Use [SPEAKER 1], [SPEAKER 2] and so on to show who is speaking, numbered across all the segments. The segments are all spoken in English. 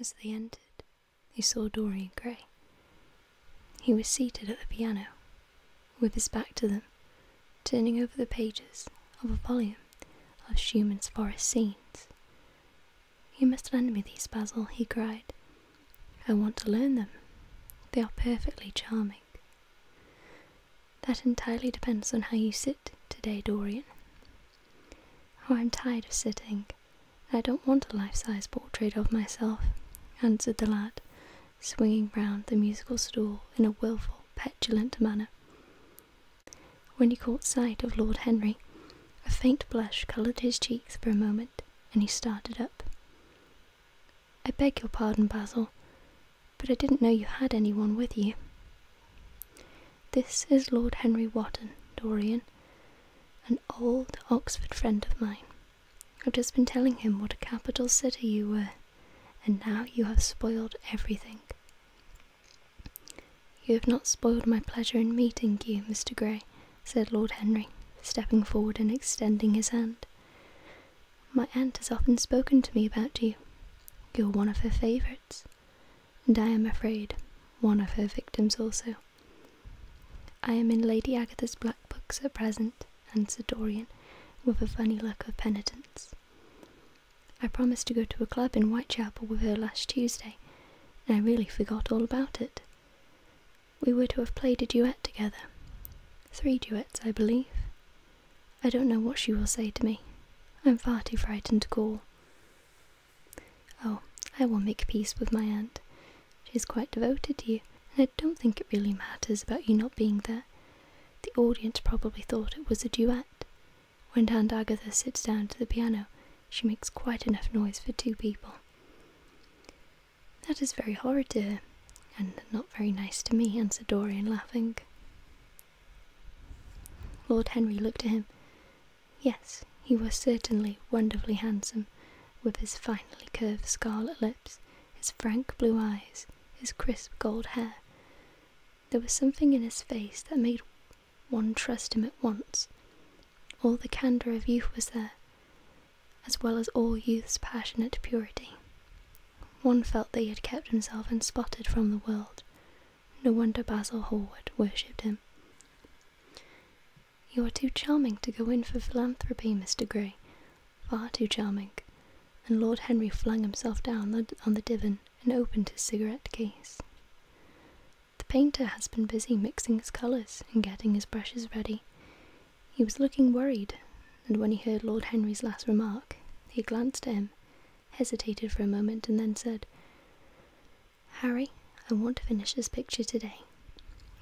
[SPEAKER 1] As they entered, they saw Dorian Gray. He was seated at the piano, with his back to them, turning over the pages of a volume of Schumann's forest scenes. You must lend me these, Basil, he cried. I want to learn them. They are perfectly charming. That entirely depends on how you sit today, Dorian, Oh, I'm tired of sitting. I don't want a life size portrait of myself, answered the lad, swinging round the musical stool in a wilful, petulant manner. When he caught sight of Lord Henry, a faint blush coloured his cheeks for a moment, and he started up. I beg your pardon, Basil, but I didn't know you had any one with you. This is Lord Henry Wotton, Dorian, an old Oxford friend of mine. I've just been telling him what a capital city you were, and now you have spoiled everything. You have not spoiled my pleasure in meeting you, Mr. Grey, said Lord Henry, stepping forward and extending his hand. My aunt has often spoken to me about you. You're one of her favourites and I am afraid one of her victims also. I am in Lady Agatha's black books at present, answered Dorian, with a funny look of penitence. I promised to go to a club in Whitechapel with her last Tuesday, and I really forgot all about it. We were to have played a duet together. Three duets, I believe. I don't know what she will say to me. I'm far too frightened to call. Oh, I will make peace with my aunt. She is quite devoted to you, and I don't think it really matters about you not being there. The audience probably thought it was a duet. When Aunt Agatha sits down to the piano, she makes quite enough noise for two people. That is very horrid dear, and not very nice to me, answered Dorian, laughing. Lord Henry looked at him. Yes, he was certainly wonderfully handsome, with his finely curved scarlet lips, his frank blue eyes, his crisp gold hair. There was something in his face that made one trust him at once. All the candour of youth was there, as well as all youth's passionate purity. One felt that he had kept himself unspotted from the world. No wonder Basil Hallward worshipped him. You are too charming to go in for philanthropy, Mr. Grey. Far too charming. And Lord Henry flung himself down on the divan and opened his cigarette case. The painter has been busy mixing his colours and getting his brushes ready. He was looking worried, and when he heard Lord Henry's last remark, he glanced at him, hesitated for a moment, and then said, Harry, I want to finish this picture today.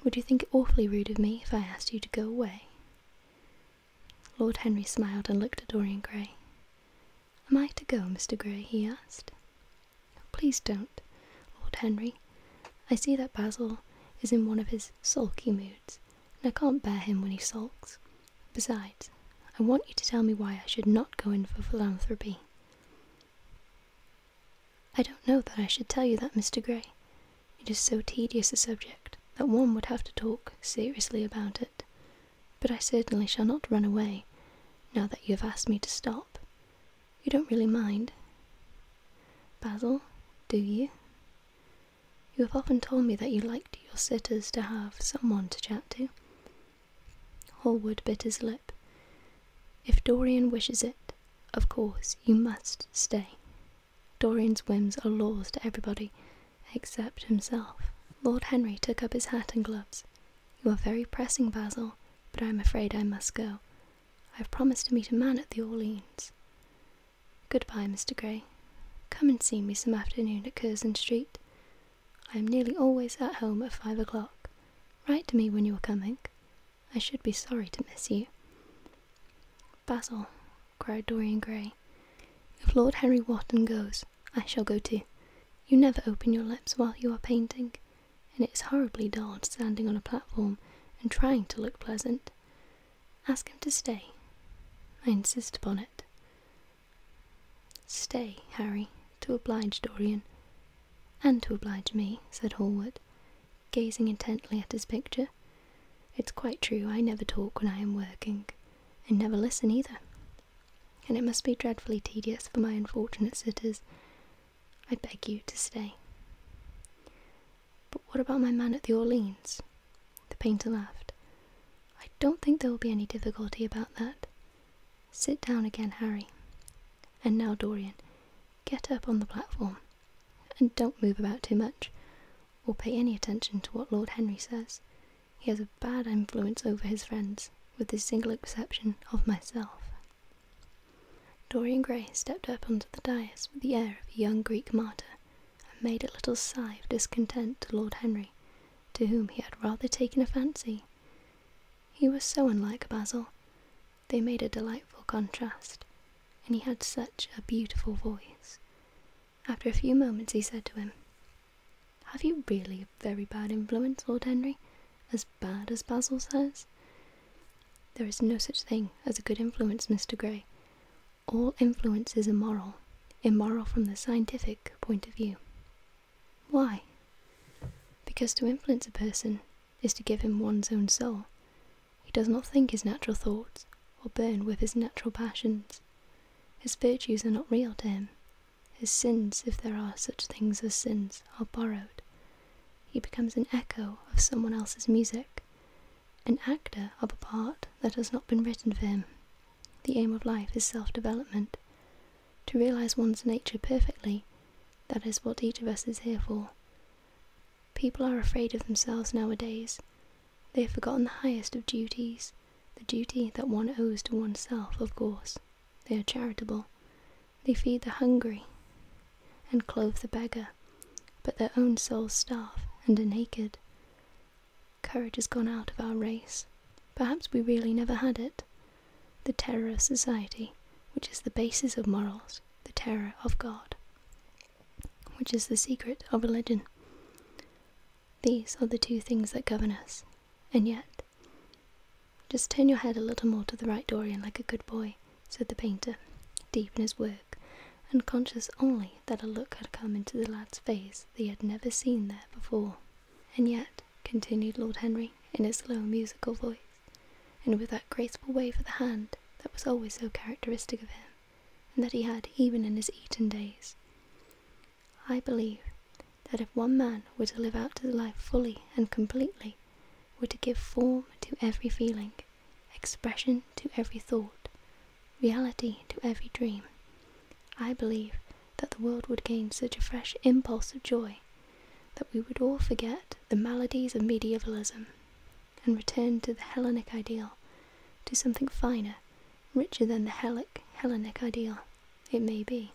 [SPEAKER 1] Would you think it awfully rude of me if I asked you to go away? Lord Henry smiled and looked at Dorian Gray. Am I to go, Mr. Gray? he asked. Please don't, Lord Henry. I see that Basil is in one of his sulky moods, and I can't bear him when he sulks. Besides, I want you to tell me why I should not go in for philanthropy. I don't know that I should tell you that, Mr. Grey. It is so tedious a subject that one would have to talk seriously about it. But I certainly shall not run away, now that you have asked me to stop. You don't really mind. Basil, do you? You have often told me that you liked your sitters to have someone to chat to. Hallward bit his lip. If Dorian wishes it, of course you must stay. Dorian's whims are laws to everybody except himself. Lord Henry took up his hat and gloves. You are very pressing, Basil, but I am afraid I must go. I have promised to meet a man at the Orleans. Goodbye, Mr. Grey. Come and see me some afternoon at Curzon Street. I am nearly always at home at five o'clock. Write to me when you are coming. I should be sorry to miss you. Basil, cried Dorian Gray, if Lord Henry Wotton goes, I shall go too. You never open your lips while you are painting, and it is horribly dull standing on a platform and trying to look pleasant. Ask him to stay. I insist upon it. Stay, Harry, to oblige Dorian. And to oblige me, said Hallward, gazing intently at his picture. It's quite true, I never talk when I am working, and never listen either. And it must be dreadfully tedious for my unfortunate sitters. I beg you to stay. But what about my man at the Orleans? The painter laughed. I don't think there will be any difficulty about that. Sit down again, Harry. And now, Dorian, get up on the platform, and don't move about too much, or pay any attention to what Lord Henry says. He has a bad influence over his friends, with the single exception of myself. Dorian Gray stepped up onto the dais with the air of a young Greek martyr, and made a little sigh of discontent to Lord Henry, to whom he had rather taken a fancy. He was so unlike Basil. They made a delightful contrast, and he had such a beautiful voice. After a few moments, he said to him, Have you really a very bad influence, Lord Henry? As bad as Basil says? There is no such thing as a good influence, Mr. Grey. All influence is immoral, immoral from the scientific point of view. Why? Because to influence a person is to give him one's own soul. He does not think his natural thoughts or burn with his natural passions. His virtues are not real to him. His sins, if there are such things as sins, are borrowed. He becomes an echo of someone else's music, an actor of a part that has not been written for him. The aim of life is self development to realize one's nature perfectly. That is what each of us is here for. People are afraid of themselves nowadays. They have forgotten the highest of duties, the duty that one owes to oneself, of course. They are charitable. They feed the hungry and clothe the beggar, but their own souls starve and are naked. Courage has gone out of our race. Perhaps we really never had it the terror of society, which is the basis of morals, the terror of God, which is the secret of religion. These are the two things that govern us, and yet, just turn your head a little more to the right, Dorian, like a good boy, said the painter, deep in his work, and conscious only that a look had come into the lad's face he had never seen there before. And yet, continued Lord Henry in his low musical voice, and with that graceful wave of the hand that was always so characteristic of him, and that he had even in his Eton days, I believe that if one man were to live out his life fully and completely, were to give form to every feeling, expression to every thought, reality to every dream, I believe that the world would gain such a fresh impulse of joy that we would all forget the maladies of medievalism and return to the Hellenic ideal, to something finer, richer than the Hellenic Hellenic ideal, it may be.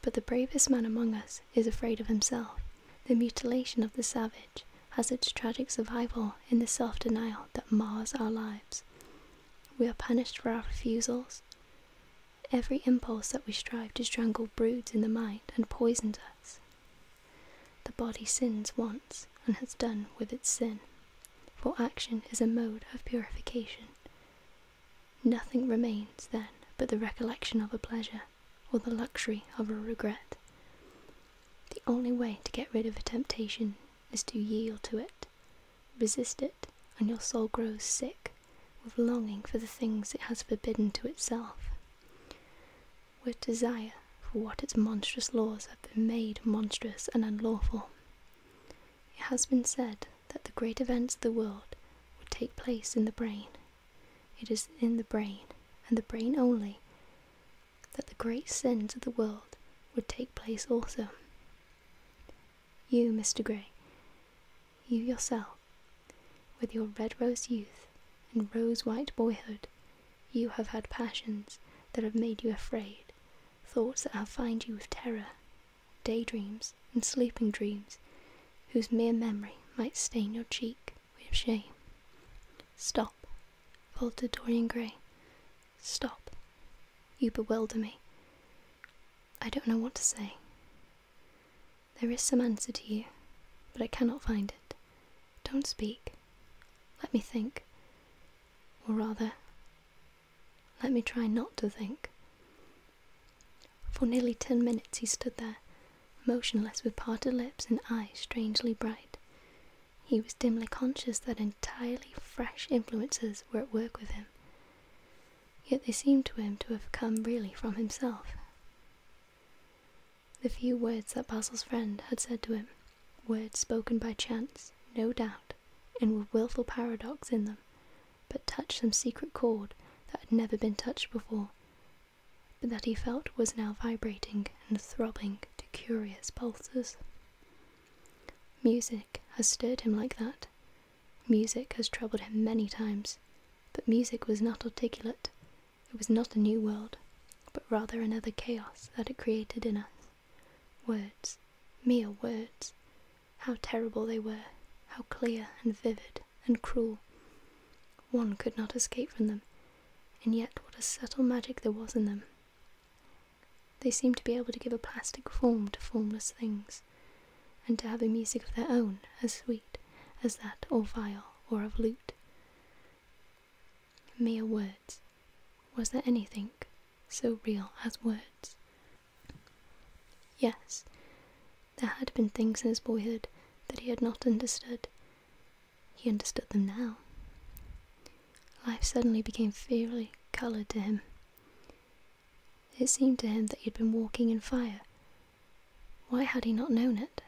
[SPEAKER 1] But the bravest man among us is afraid of himself. The mutilation of the savage has its tragic survival in the self denial that mars our lives. We are punished for our refusals, Every impulse that we strive to strangle broods in the mind and poisons us. The body sins once and has done with its sin, for action is a mode of purification. Nothing remains, then, but the recollection of a pleasure or the luxury of a regret. The only way to get rid of a temptation is to yield to it Resist it, and your soul grows sick with longing for the things it has forbidden to itself. With desire for what its monstrous laws have made monstrous and unlawful. It has been said that the great events of the world would take place in the brain. It is in the brain, and the brain only, that the great sins of the world would take place also. You, Mr. Grey, you yourself, with your red rose youth and rose white boyhood, you have had passions that have made you afraid, thoughts that have fined you with terror, day dreams and sleeping dreams, whose mere memory might stain your cheek with shame. Stop, faltered Dorian Gray, Stop. You bewilder me. I don't know what to say. There is some answer to you, but I cannot find it. Don't speak. Let me think. Or rather, let me try not to think. For nearly ten minutes he stood there, motionless with parted lips and eyes strangely bright. He was dimly conscious that entirely fresh influences were at work with him, Yet they seemed to him to have come really from himself. The few words that Basil's friend had said to him, words spoken by chance, no doubt, and with wilful paradox in them, but touched some secret chord that had never been touched before, but that he felt was now vibrating and throbbing to curious pulses. Music has stirred him like that, Music has troubled him many times, but music was not articulate. It was not a new world, but rather another chaos that it created in us. Words, mere words, how terrible they were, how clear and vivid and cruel. One could not escape from them, and yet what a subtle magic there was in them. They seem to be able to give a plastic form to formless things, and to have a music of their own, as sweet as that of viol or of lute. Mere words. Was there anything so real as words? Yes, there had been things in his boyhood that he had not understood. He understood them now. Life suddenly became fairly coloured to him. It seemed to him that he had been walking in fire. Why had he not known it?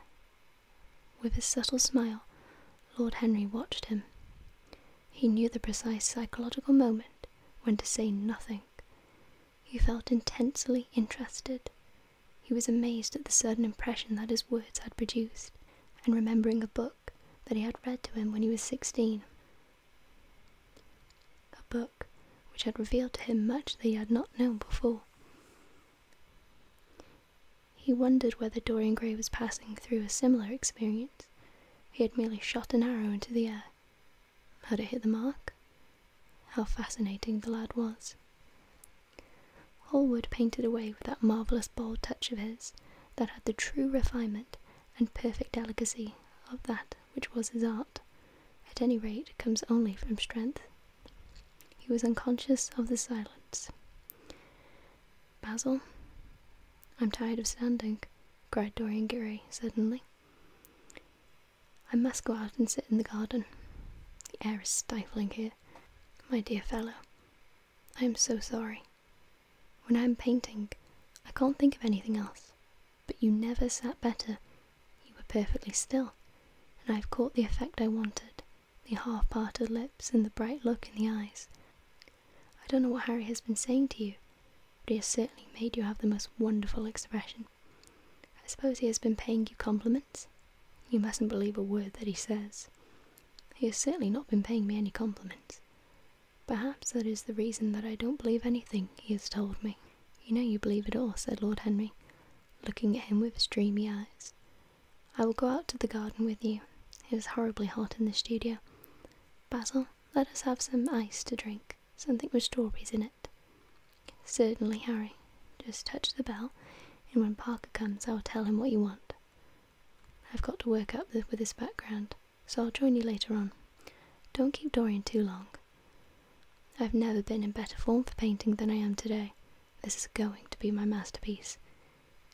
[SPEAKER 1] With a subtle smile, Lord Henry watched him. He knew the precise psychological moment when to say nothing. He felt intensely interested. He was amazed at the sudden impression that his words had produced, and remembering a book that he had read to him when he was sixteen, a book which had revealed to him much that he had not known before. He wondered whether Dorian Gray was passing through a similar experience. He had merely shot an arrow into the air. Had it hit the mark? How fascinating the lad was. Hallward painted away with that marvellous bold touch of his that had the true refinement and perfect delicacy of that which was his art, at any rate comes only from strength. He was unconscious of the silence. Basil, I'm tired of standing, cried Dorian Gray suddenly. I must go out and sit in the garden. The air is stifling here. My dear fellow, I am so sorry. When I am painting, I can't think of anything else. But you never sat better. You were perfectly still, and I have caught the effect I wanted the half parted lips and the bright look in the eyes. I don't know what Harry has been saying to you, but he has certainly made you have the most wonderful expression. I suppose he has been paying you compliments? You mustn't believe a word that he says. He has certainly not been paying me any compliments. Perhaps that is the reason that I don't believe anything he has told me. You know you believe it all, said Lord Henry, looking at him with his dreamy eyes. I will go out to the garden with you. It is horribly hot in the studio. Basil, let us have some ice to drink, something with strawberries in it. Certainly, Harry. Just touch the bell, and when Parker comes, I will tell him what you want. I've got to work up with this background so I'll join you later on. Don't keep Dorian too long. I've never been in better form for painting than I am today. This is going to be my masterpiece.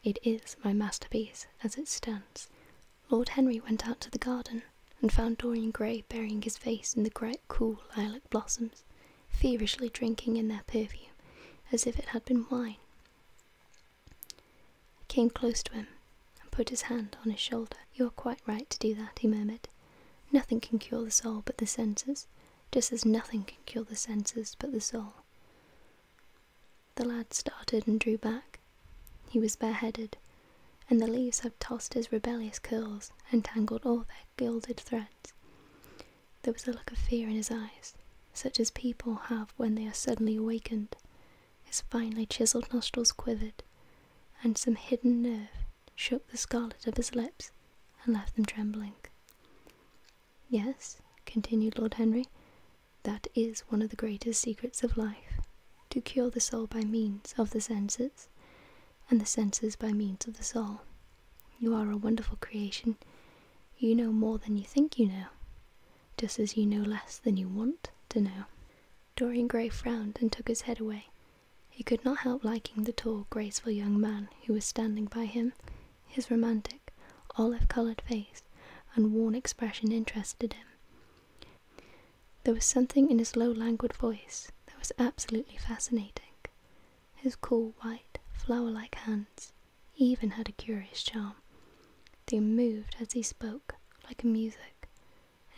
[SPEAKER 1] It is my masterpiece, as it stands. Lord Henry went out to the garden and found Dorian Gray burying his face in the great cool lilac blossoms, feverishly drinking in their perfume as if it had been wine came close to him and put his hand on his shoulder. You are quite right to do that, he murmured. Nothing can cure the soul but the senses, just as nothing can cure the senses but the soul. The lad started and drew back. He was bareheaded, and the leaves had tossed his rebellious curls and tangled all their gilded threads. There was a look of fear in his eyes, such as people have when they are suddenly awakened his finely chiselled nostrils quivered, and some hidden nerve shook the scarlet of his lips and left them trembling. Yes, continued Lord Henry, that is one of the greatest secrets of life to cure the soul by means of the senses, and the senses by means of the soul. You are a wonderful creation. You know more than you think you know, just as you know less than you want to know. Dorian Gray frowned and took his head away. He could not help liking the tall, graceful young man who was standing by him. His romantic, olive coloured face and worn expression interested him. There was something in his low, languid voice that was absolutely fascinating. His cool, white, flower like hands even had a curious charm. They moved as he spoke, like music,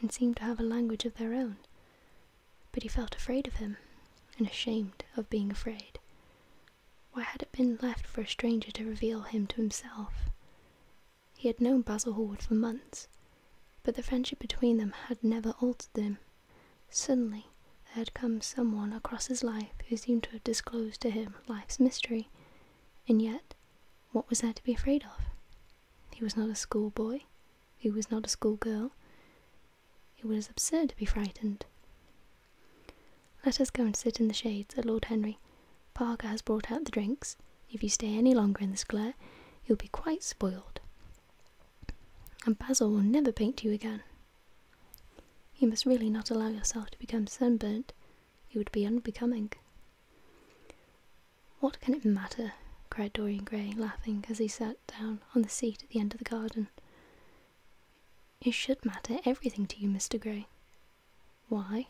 [SPEAKER 1] and seemed to have a language of their own. But he felt afraid of him, and ashamed of being afraid. Why had it been left for a stranger to reveal him to himself? He had known Basil Hallward for months, but the friendship between them had never altered him. Suddenly, there had come someone across his life who seemed to have disclosed to him life's mystery, and yet, what was there to be afraid of? He was not a schoolboy, he was not a schoolgirl. It was absurd to be frightened. Let us go and sit in the shade, said Lord Henry. Parker has brought out the drinks. If you stay any longer in this glare, you'll be quite spoiled. And Basil will never paint you again. You must really not allow yourself to become sunburnt. It would be unbecoming. What can it matter? cried Dorian Gray, laughing, as he sat down on the seat at the end of the garden. It should matter everything to you, Mr. Grey. Why?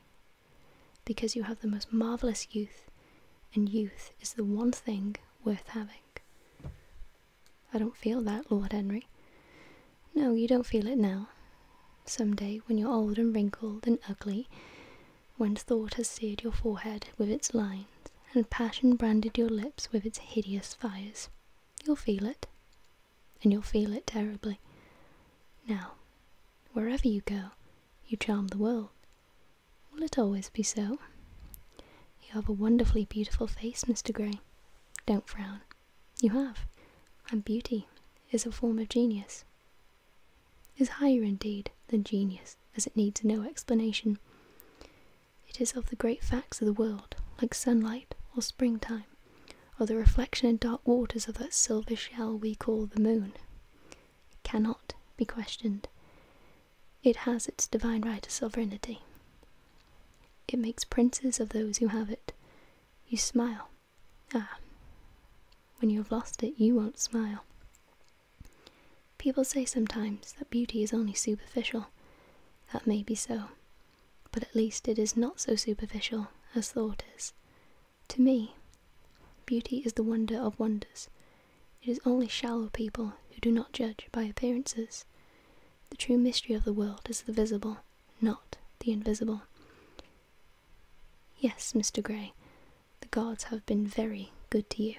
[SPEAKER 1] Because you have the most marvellous youth, and youth is the one thing worth having. I don't feel that, Lord Henry. No, you don't feel it now. Some day, when you're old and wrinkled and ugly, when thought has seared your forehead with its lines, and passion branded your lips with its hideous fires, you'll feel it, and you'll feel it terribly. Now, wherever you go, you charm the world. Will it always be so? You have a wonderfully beautiful face, Mr. Grey. Don't frown. You have. And beauty is a form of genius is higher indeed than genius as it needs no explanation. It is of the great facts of the world, like sunlight or springtime, or the reflection in dark waters of that silver shell we call the moon. cannot be questioned. It has its divine right of sovereignty. It makes princes of those who have it. You smile. Ah, when you have lost it, you won't smile. People say sometimes that beauty is only superficial. That may be so, but at least it is not so superficial as thought is. To me, beauty is the wonder of wonders. It is only shallow people who do not judge by appearances. The true mystery of the world is the visible, not the invisible. Yes, Mr. Grey, the gods have been very good to you.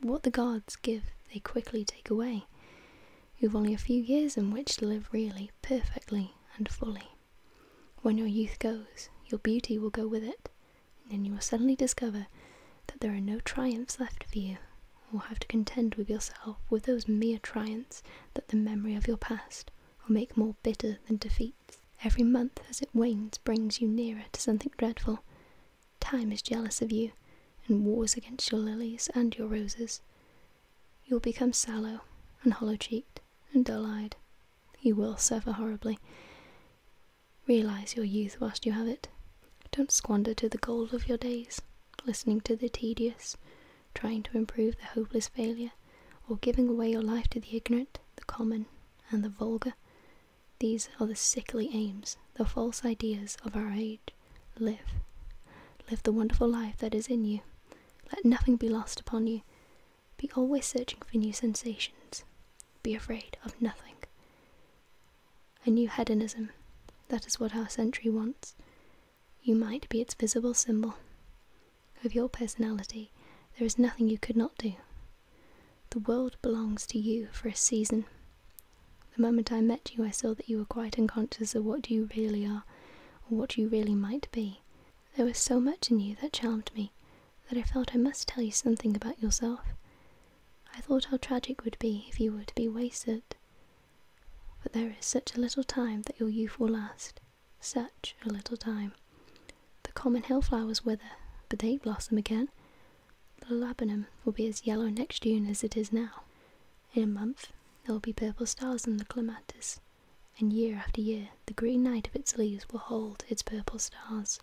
[SPEAKER 1] What the gods give, they quickly take away. You've only a few years in which to live really, perfectly, and fully. When your youth goes, your beauty will go with it, and then you will suddenly discover that there are no triumphs left for you, You will have to contend with yourself with those mere triumphs that the memory of your past will make more bitter than defeats. Every month as it wanes brings you nearer to something dreadful. Time is jealous of you, and wars against your lilies and your roses. You will become sallow, and hollow cheeked, and dull eyed. You will suffer horribly. Realize your youth whilst you have it. Don't squander to the gold of your days, listening to the tedious, trying to improve the hopeless failure, or giving away your life to the ignorant, the common, and the vulgar. These are the sickly aims, the false ideas of our age. Live. Live the wonderful life that is in you. Let nothing be lost upon you. Be always searching for new sensations. Be afraid of nothing. A new hedonism. That is what our century wants. You might be its visible symbol of your personality, there is nothing you could not do. The world belongs to you for a season. The moment I met you, I saw that you were quite unconscious of what you really are, or what you really might be. There was so much in you that charmed me, that I felt I must tell you something about yourself. I thought how tragic would be if you were to be wasted. But there is such a little time that your youth will last, such a little time. The common hill flowers wither, but they blossom again. The laburnum will be as yellow next June as it is now. In a month, there will be purple stars in the clematis, and year after year, the green night of its leaves will hold its purple stars.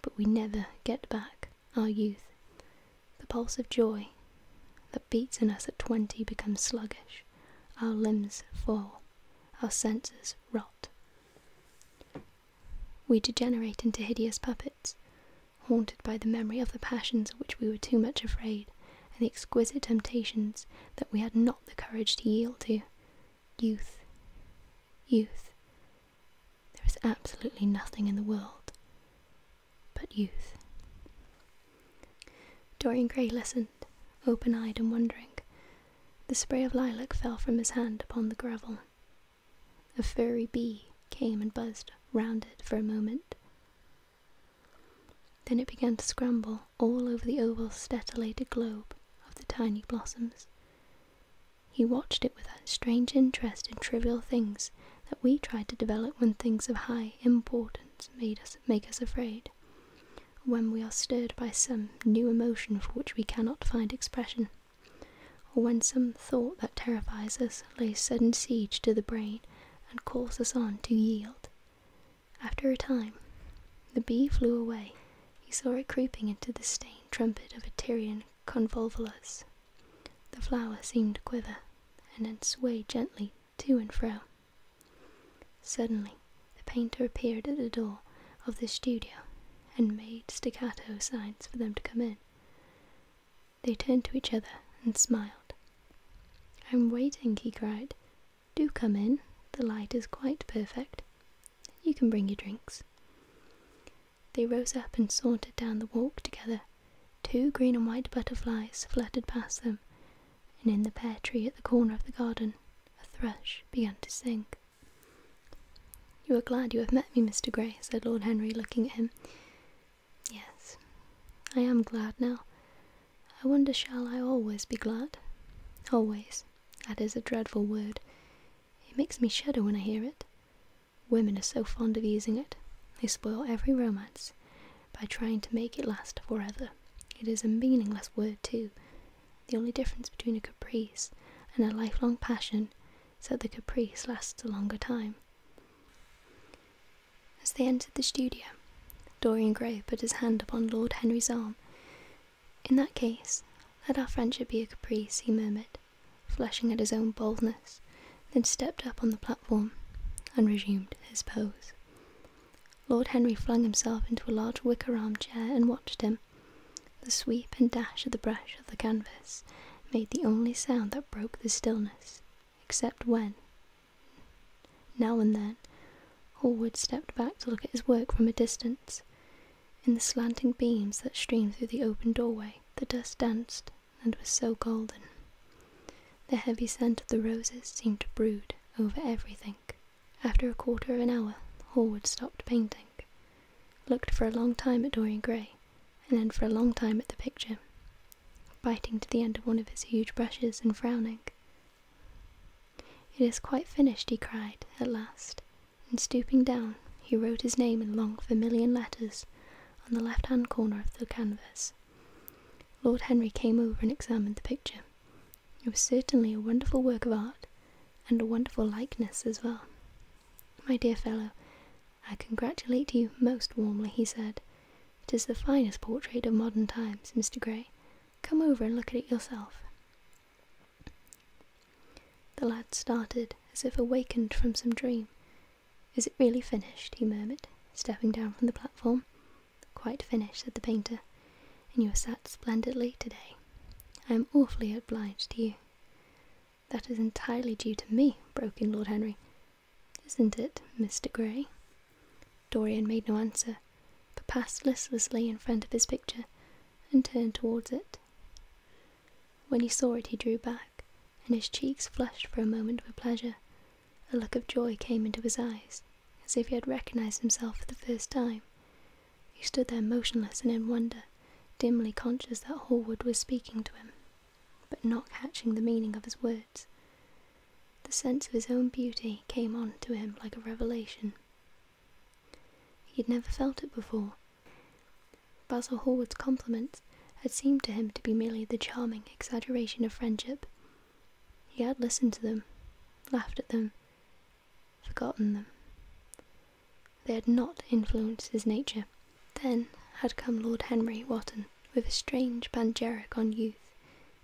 [SPEAKER 1] But we never get back our youth. The pulse of joy that beats in us at twenty becomes sluggish. Our limbs fall, our senses rot, we degenerate into hideous puppets, haunted by the memory of the passions of which we were too much afraid, and the exquisite temptations that we had not the courage to yield to. Youth, youth. There is absolutely nothing in the world but youth. Dorian Gray listened, open eyed and wondering, the spray of lilac fell from his hand upon the gravel. A furry bee came and buzzed round it for a moment. Then it began to scramble all over the oval stellated globe of the tiny blossoms. He watched it with that strange interest in trivial things that we try to develop when things of high importance made us make us afraid when we are stirred by some new emotion for which we cannot find expression, or when some thought that terrifies us lays sudden siege to the brain and calls us on to yield. After a time, the bee flew away. He saw it creeping into the stained trumpet of a Tyrian convolvulus. The flower seemed to quiver, and then sway gently to and fro. Suddenly, the painter appeared at the door of the studio and made staccato signs for them to come in. They turned to each other and smiled. I'm waiting, he cried. Do come in. The light is quite perfect. You can bring your drinks. They rose up and sauntered down the walk together. Two green and white butterflies fluttered past them, and in the pear tree at the corner of the garden, a thrush began to sing. You are glad you have met me, Mr. Grey," said Lord Henry, looking at him. Yes, I am glad now. I wonder shall I always be glad? Always. That is a dreadful word. It makes me shudder when I hear it. Women are so fond of using it. They spoil every romance by trying to make it last forever. It is a meaningless word, too. The only difference between a caprice and a lifelong passion is that the caprice lasts a longer time. As they entered the studio, Dorian Gray put his hand upon Lord Henry's arm. In that case, let our friendship be a caprice, he murmured, flushing at his own boldness, then stepped up on the platform and resumed his pose. Lord Henry flung himself into a large wicker armchair and watched him the sweep and dash of the brush of the canvas made the only sound that broke the stillness, except when, now and then, Hallward stepped back to look at his work from a distance. In the slanting beams that streamed through the open doorway, the dust danced and was so golden. The heavy scent of the roses seemed to brood over everything. After a quarter of an hour, Hallward stopped painting, looked for a long time at Dorian Gray, and then for a long time at the picture, biting to the end of one of his huge brushes and frowning. It is quite finished, he cried, at last, and stooping down, he wrote his name in long vermilion letters on the left hand corner of the canvas. Lord Henry came over and examined the picture. It was certainly a wonderful work of art, and a wonderful likeness as well. My dear fellow, I congratulate you most warmly, he said. It is the finest portrait of modern times, Mr. Grey. Come over and look at it yourself. The lad started as if awakened from some dream. Is it really finished? he murmured, stepping down from the platform. Quite finished, said the painter, and you are sat splendidly today. I am awfully obliged to you. That is entirely due to me, broke in Lord Henry. Isn't it, Mr. Grey? Dorian made no answer, but passed listlessly in front of his picture and turned towards it. When he saw it, he drew back, and his cheeks flushed for a moment with pleasure. A look of joy came into his eyes, as if he had recognized himself for the first time. He stood there motionless and in wonder, dimly conscious that Hallward was speaking to him, but not catching the meaning of his words. The sense of his own beauty came on to him like a revelation. He had never felt it before. Basil Hallward's compliments had seemed to him to be merely the charming exaggeration of friendship. He had listened to them, laughed at them, forgotten them. They had not influenced his nature. Then had come Lord Henry Wotton with a strange panegyric on youth,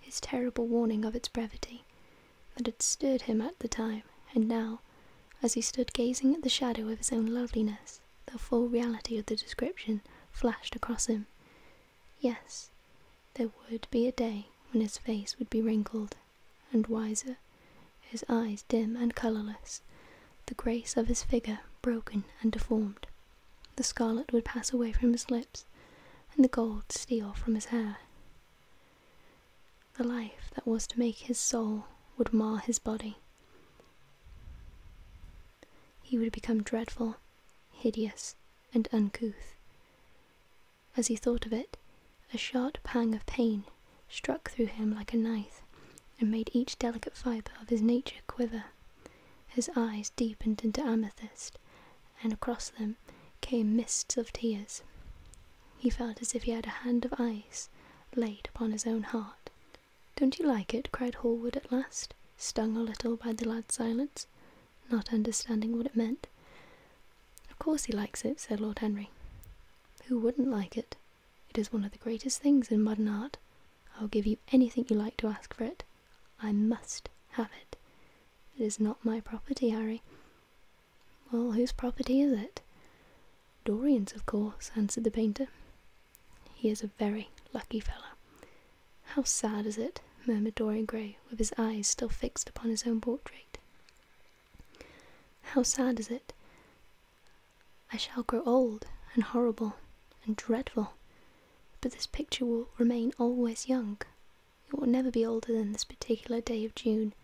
[SPEAKER 1] his terrible warning of its brevity, that had stirred him at the time, and now, as he stood gazing at the shadow of his own loveliness, the full reality of the description flashed across him. Yes, there would be a day when his face would be wrinkled and wiser, his eyes dim and colourless, the grace of his figure broken and deformed. The scarlet would pass away from his lips, and the gold steal from his hair. The life that was to make his soul would mar his body. He would become dreadful, hideous, and uncouth. As he thought of it, a sharp pang of pain struck through him like a knife and made each delicate fibre of his nature quiver. His eyes deepened into amethyst, and across them came mists of tears. He felt as if he had a hand of ice laid upon his own heart. Don't you like it? cried Hallward at last, stung a little by the lad's silence, not understanding what it meant. Of course he likes it, said Lord Henry. Who wouldn't like it? It is one of the greatest things in modern art. I'll give you anything you like to ask for it. I must have it. It is not my property, Harry. Well, whose property is it? Dorian's, of course, answered the painter. He is a very lucky fellow. How sad is it, murmured Dorian Gray, with his eyes still fixed upon his own portrait. How sad is it? I shall grow old and horrible and dreadful, but this picture will remain always young. It will never be older than this particular day of June.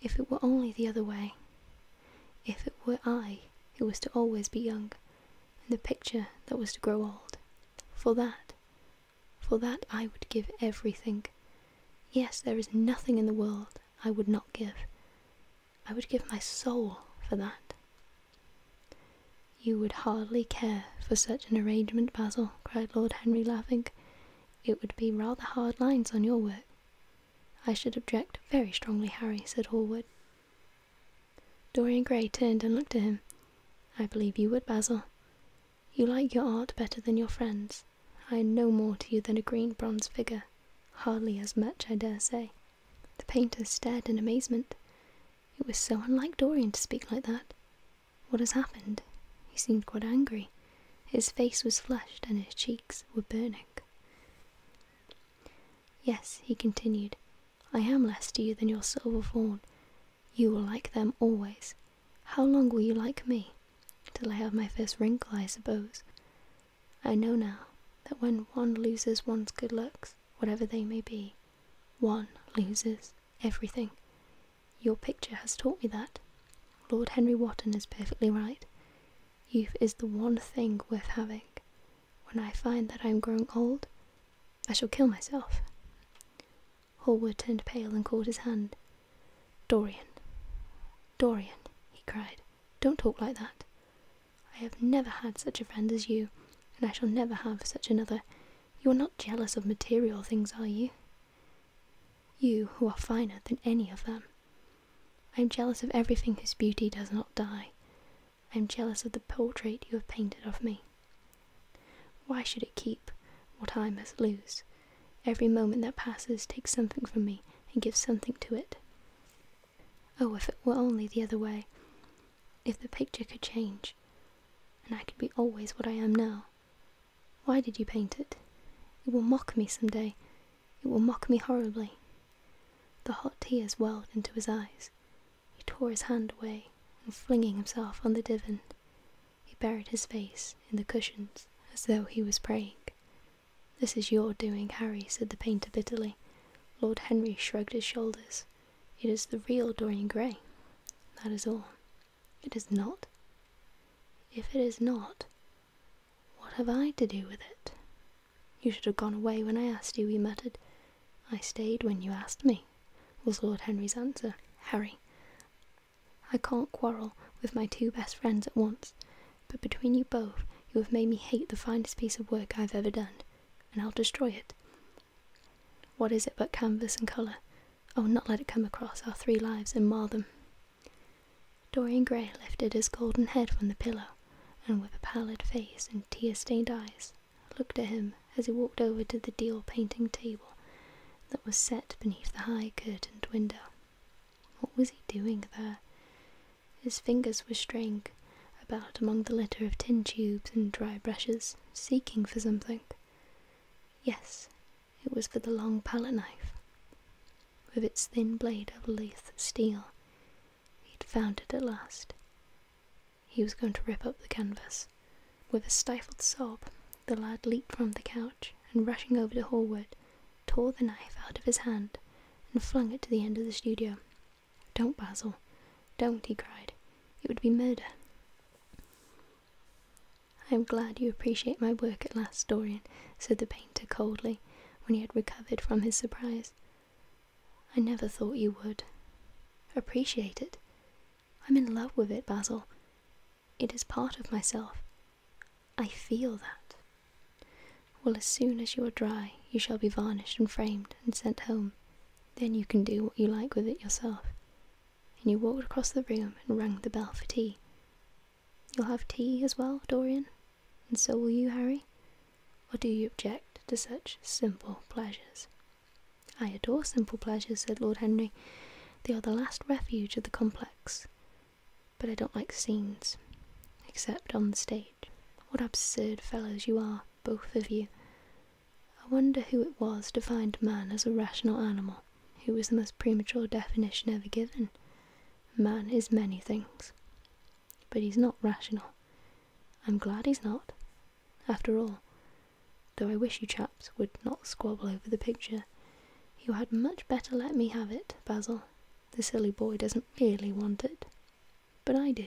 [SPEAKER 1] If it were only the other way. If it were I who was to always be young, and the picture that was to grow old. For that, for that I would give everything. Yes, there is nothing in the world I would not give. I would give my soul for that. You would hardly care for such an arrangement, Basil, cried Lord Henry, laughing. It would be rather hard lines on your work. I should object very strongly, Harry, said Hallward. Dorian Gray turned and looked at him. I believe you would, Basil. You like your art better than your friends. I am no more to you than a green bronze figure, hardly as much, I dare say. The painter stared in amazement. It was so unlike Dorian to speak like that. What has happened? He seemed quite angry. His face was flushed and his cheeks were burning. Yes, he continued, I am less to you than your silver fawn. You will like them always. How long will you like me? Till I have my first wrinkle, I suppose. I know now that when one loses one's good looks, whatever they may be, one loses everything. Your picture has taught me that. Lord Henry Wotton is perfectly right. Youth is the one thing worth having. When I find that I am growing old, I shall kill myself. Hallward turned pale and caught his hand. Dorian, Dorian, he cried, don't talk like that. I have never had such a friend as you, and I shall never have such another. You are not jealous of material things, are you? You, who are finer than any of them. I am jealous of everything whose beauty does not die. I am jealous of the portrait you have painted of me. Why should it keep what I must lose? Every moment that passes takes something from me and gives something to it. Oh, if it were only the other way. If the picture could change, and I could be always what I am now. Why did you paint it? It will mock me some day. It will mock me horribly. The hot tears welled into his eyes. He tore his hand away and flinging himself on the divan. He buried his face in the cushions as though he was praying. This is your doing, Harry, said the painter bitterly. Lord Henry shrugged his shoulders. It is the real Dorian Gray. That is all. It is not. If it is not, what have I to do with it? You should have gone away when I asked you, he muttered. I stayed when you asked me, was Lord Henry's answer. Harry, I can't quarrel with my two best friends at once, but between you both, you have made me hate the finest piece of work I've ever done, and I'll destroy it. What is it but canvas and colour? I oh, will not let it come across our three lives and mar them. Dorian Gray lifted his golden head from the pillow, and with a pallid face and tear-stained eyes, looked at him as he walked over to the deal painting table that was set beneath the high curtained window. What was he doing there? His fingers were straying about among the litter of tin tubes and dry brushes, seeking for something. Yes, it was for the long palette knife. With its thin blade of lithe steel, he'd found it at last. He was going to rip up the canvas. With a stifled sob, the lad leaped from the couch and, rushing over to Hallward, tore the knife out of his hand and flung it to the end of the studio. Don't, Basil, don't, he cried. It would be murder. I am glad you appreciate my work at last, Dorian, said the painter coldly, when he had recovered from his surprise. I never thought you would. Appreciate it. I'm in love with it, Basil. It is part of myself. I feel that. Well, as soon as you are dry, you shall be varnished and framed and sent home. Then you can do what you like with it yourself. And you walked across the room and rang the bell for tea. You'll have tea as well, Dorian? And so will you, Harry? Or do you object to such simple pleasures? I adore simple pleasures, said Lord Henry. They are the last refuge of the complex but I don't like scenes, except on the stage. What absurd fellows you are, both of you. I wonder who it was defined man as a rational animal, who was the most premature definition ever given. Man is many things, but he's not rational. I'm glad he's not, after all, though I wish you chaps would not squabble over the picture. You had much better let me have it, Basil. The silly boy doesn't really want it. But I do.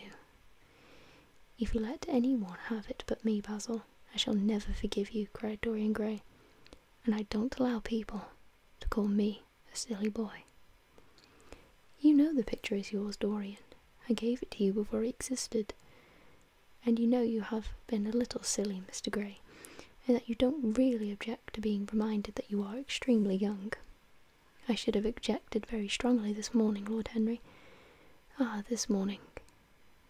[SPEAKER 1] If you let any one have it but me, Basil, I shall never forgive you, cried Dorian Gray. And I don't allow people to call me a silly boy. You know the picture is yours, Dorian. I gave it to you before it existed. And you know you have been a little silly, Mr. Grey, and that you don't really object to being reminded that you are extremely young. I should have objected very strongly this morning, Lord Henry. Ah, this morning.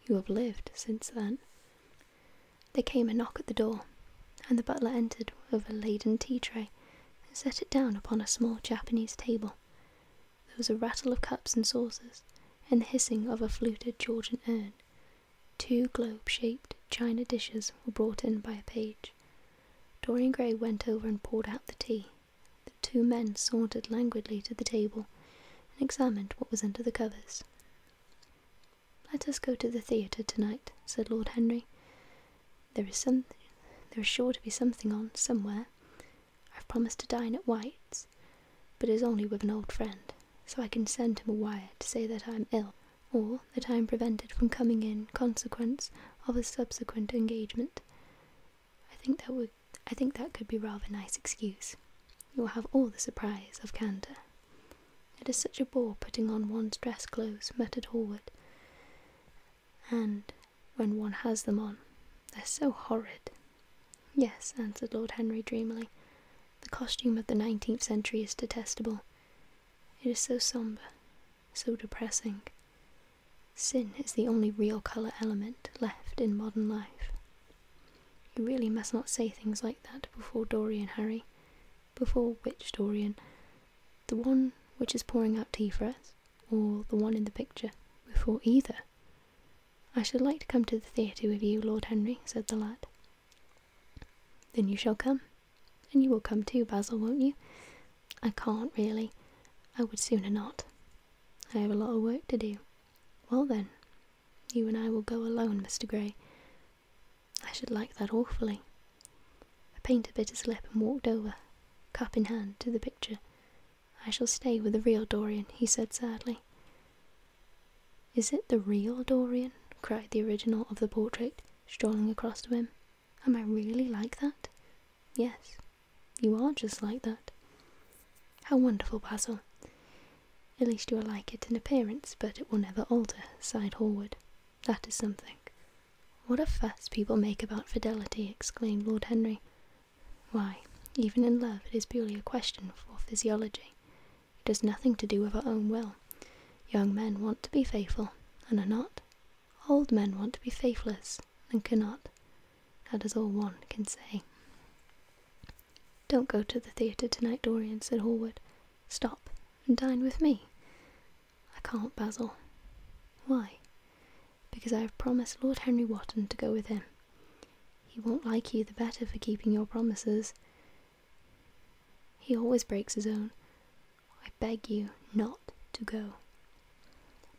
[SPEAKER 1] You have lived since then. There came a knock at the door, and the butler entered with a laden tea tray and set it down upon a small Japanese table. There was a rattle of cups and saucers, and the hissing of a fluted Georgian urn, Two globe shaped china dishes were brought in by a page. Dorian Gray went over and poured out the tea. The two men sauntered languidly to the table and examined what was under the covers. Let us go to the theatre tonight, said Lord Henry. There is some there is sure to be something on somewhere. I've promised to dine at White's, but it is only with an old friend, so I can send him a wire to say that I'm ill or the time prevented from coming in consequence of a subsequent engagement. I think that would I think that could be rather a nice excuse. You will have all the surprise of candour. It is such a bore putting on one's dress clothes, muttered Hallward. And when one has them on, they're so horrid. Yes, answered Lord Henry dreamily. The costume of the 19th century is detestable. It is so somber, so depressing. Sin is the only real colour element left in modern life. You really must not say things like that before Dorian, Harry. Before which Dorian? The one which is pouring out tea for us, or the one in the picture? Before either? I should like to come to the theatre with you, Lord Henry, said the lad. Then you shall come. And you will come too, Basil, won't you? I can't really. I would sooner not. I have a lot of work to do. Well then, you and I will go alone, Mr. Grey. I should like that awfully. The painter bit his lip and walked over, cup in hand, to the picture. I shall stay with the real Dorian, he said sadly. Is it the real Dorian? cried the original of the portrait, strolling across to him. Am I really like that? Yes, you are just like that. How wonderful, Basil. At least you are like it in appearance, but it will never alter, sighed Hallward. That is something. What a fuss people make about fidelity, exclaimed Lord Henry. Why, even in love it is purely a question for physiology. It has nothing to do with our own will. Young men want to be faithful, and are not. Old men want to be faithless, and cannot. That is all one can say. Don't go to the theatre tonight, Dorian, said Hallward. Stop and dine with me. I can't, Basil. Why? Because I have promised Lord Henry Wotton to go with him. He won't like you the better for keeping your promises. He always breaks his own. I beg you not to go.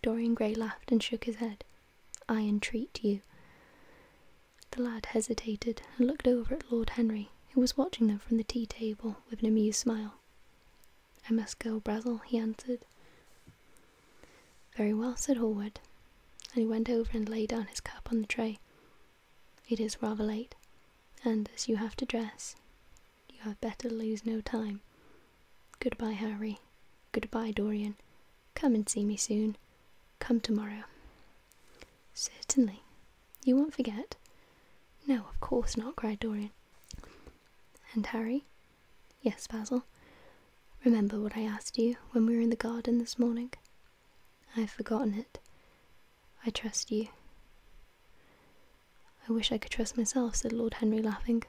[SPEAKER 1] Dorian Gray laughed and shook his head. I entreat you. The lad hesitated and looked over at Lord Henry, who was watching them from the tea table with an amused smile. I must go, Brazel, he answered. Very well, said Hallward, and he went over and laid down his cup on the tray. It is rather late, and as you have to dress, you had better lose no time. Goodbye, Harry. Goodbye, Dorian. Come and see me soon. Come tomorrow. Certainly. You won't forget. No, of course not, cried Dorian. And Harry? Yes, Basil. Remember what I asked you when we were in the garden this morning? I've forgotten it. I trust you. I wish I could trust myself, said Lord Henry, laughing.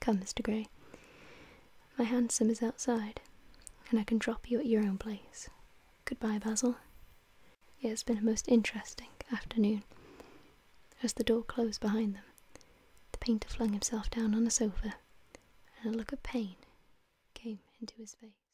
[SPEAKER 1] Come, Mr. Grey. My hansom is outside, and I can drop you at your own place. Goodbye, Basil. It has been a most interesting afternoon. As the door closed behind them, the painter flung himself down on a sofa, and a look of pain came into his face.